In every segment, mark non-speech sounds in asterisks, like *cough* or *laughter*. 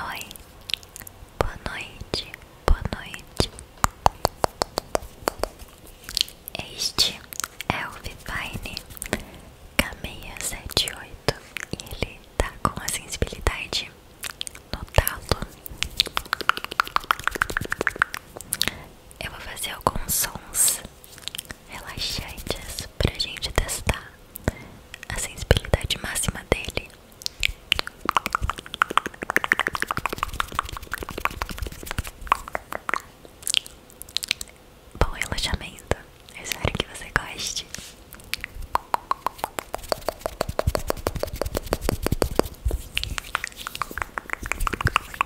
Oi, boa noite, boa noite. Este é o Vivine K678 e ele tá com a sensibilidade no talo eu vou fazer alguns sons relaxantes pra gente testar a sensibilidade máxima dele. Bom relaxamento, espero que você goste.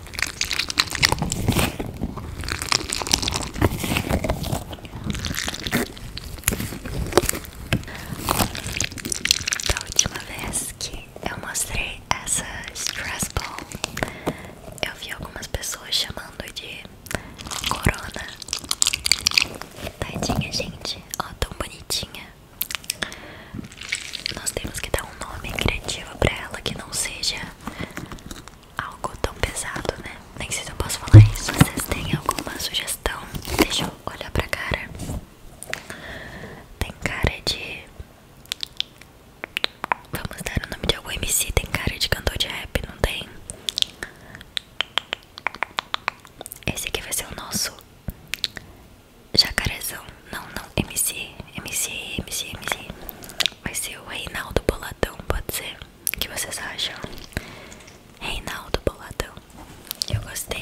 Da última vez que eu mostrei essa stress ball, eu vi algumas pessoas chamando de corona. Tadinha, gente, ó, tão bonitinha. Nós temos que dar um nome criativo pra ela que não seja algo tão pesado, né? Nem sei se eu posso falar isso. Vocês têm alguma sugestão? Deixa eu olhar pra cara. Tem cara de. Vamos dar o nome de algum MC. Tem cara de cantor de rap, não tem? Esse aqui vai ser o nosso Jacarezão. Não, não. MC. MC, MC, MC. Vai ser o Reinaldo Boladão, pode ser? que vocês acham? Reinaldo Boladão. Eu gostei.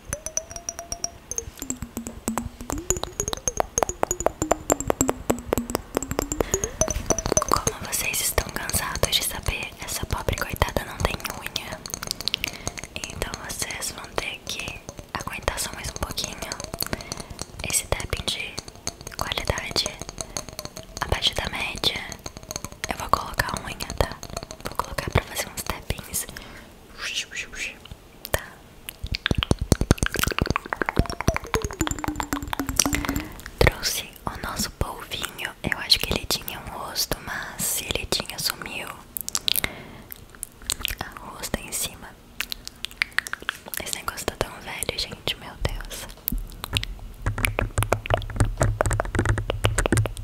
Como vocês estão cansados de saber, essa pobre coitada não tem unha. Então vocês vão ter que aguentar só mais um pouquinho esse tapping de qualidade abaixo da média. Eu vou colocar unha, tá? Vou colocar pra fazer uns tappings Tá. Trouxe o nosso polvinho. Eu acho que ele tinha um rosto, mas se ele tinha, sumiu. A ah, rosto é em cima. Esse negócio tá tão velho, gente. Meu Deus.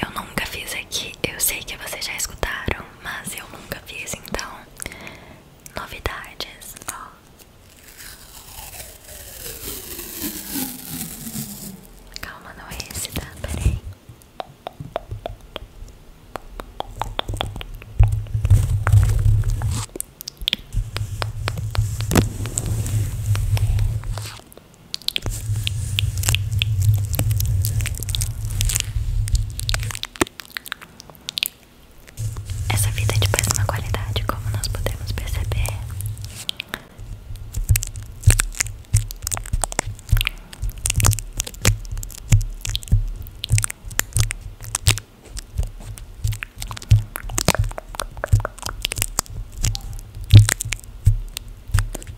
eu nunca fiz aqui. Eu sei que vocês já escutaram, mas eu nunca fiz, então novidades, ó. Calma, não é esse, tá? Peraí. Essa vida é de péssima qualidade, como nós podemos perceber.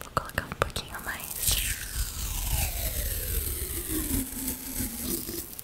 Vou colocar um pouquinho mais.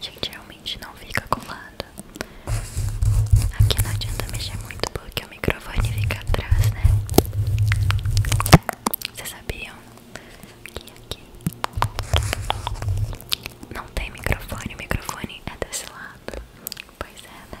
Gente, realmente não fica colado. Aqui não adianta mexer muito porque o microfone fica atrás, né? Você sabia? Aqui, aqui. Não tem microfone, o microfone é desse lado. Pois é, né?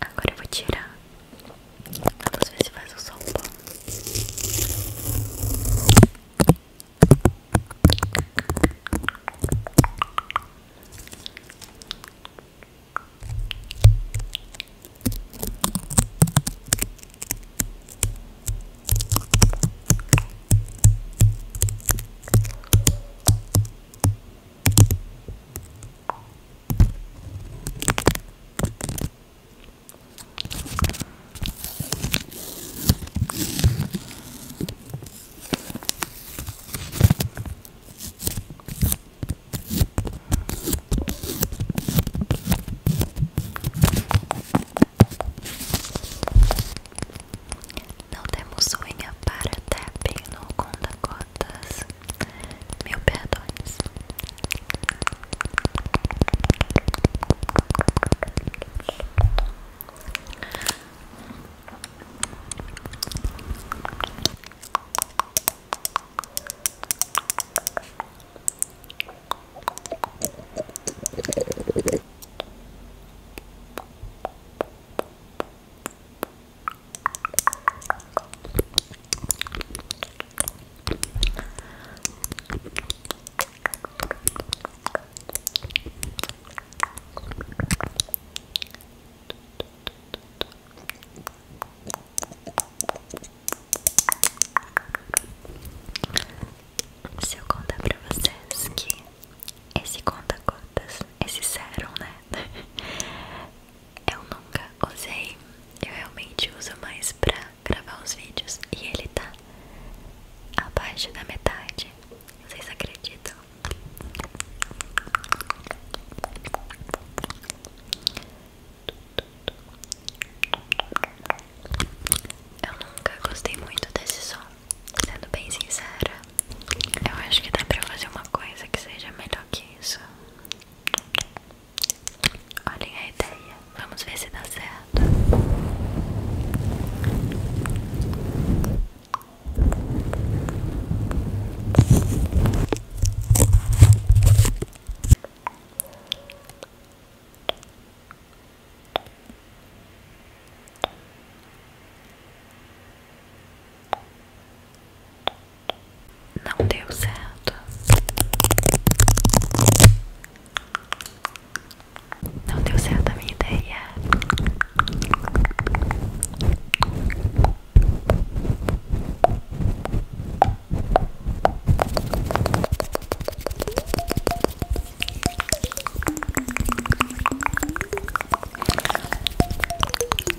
Agora vou tirar. Vamos ver se faz o som bom. Não temos unha para tapping no conta-gotas meu perdões. Se eu contar pra vocês que esse conta contas esse sérum, né? *laughs* Eu nunca usei, eu realmente uso mais pra gravar os vídeos e ele tá abaixo da metade. Vocês acreditam? Eu nunca gostei muito desse som, sendo bem sincera. Eu acho que dá pra fazer uma coisa que seja melhor que isso. Olhem a ideia, vamos ver se dá certo. Não deu certo. Não deu certo a minha ideia.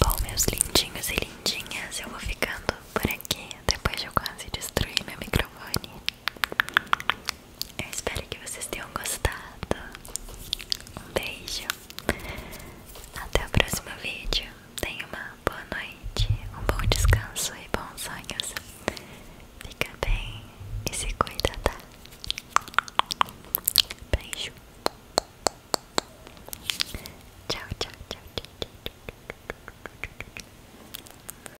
Bom, meus lindinhos e lindinhas, eu vou ficando por aqui depois eu quase destruir meu microfone. Eu espero que vocês tenham gostado. Um beijo. Até o próximo vídeo. Tenha uma boa noite, um bom descanso e bons sonhos. Fica bem e se cuida, tá? Beijo. Tchau, tchau, tchau, tchau. tchau.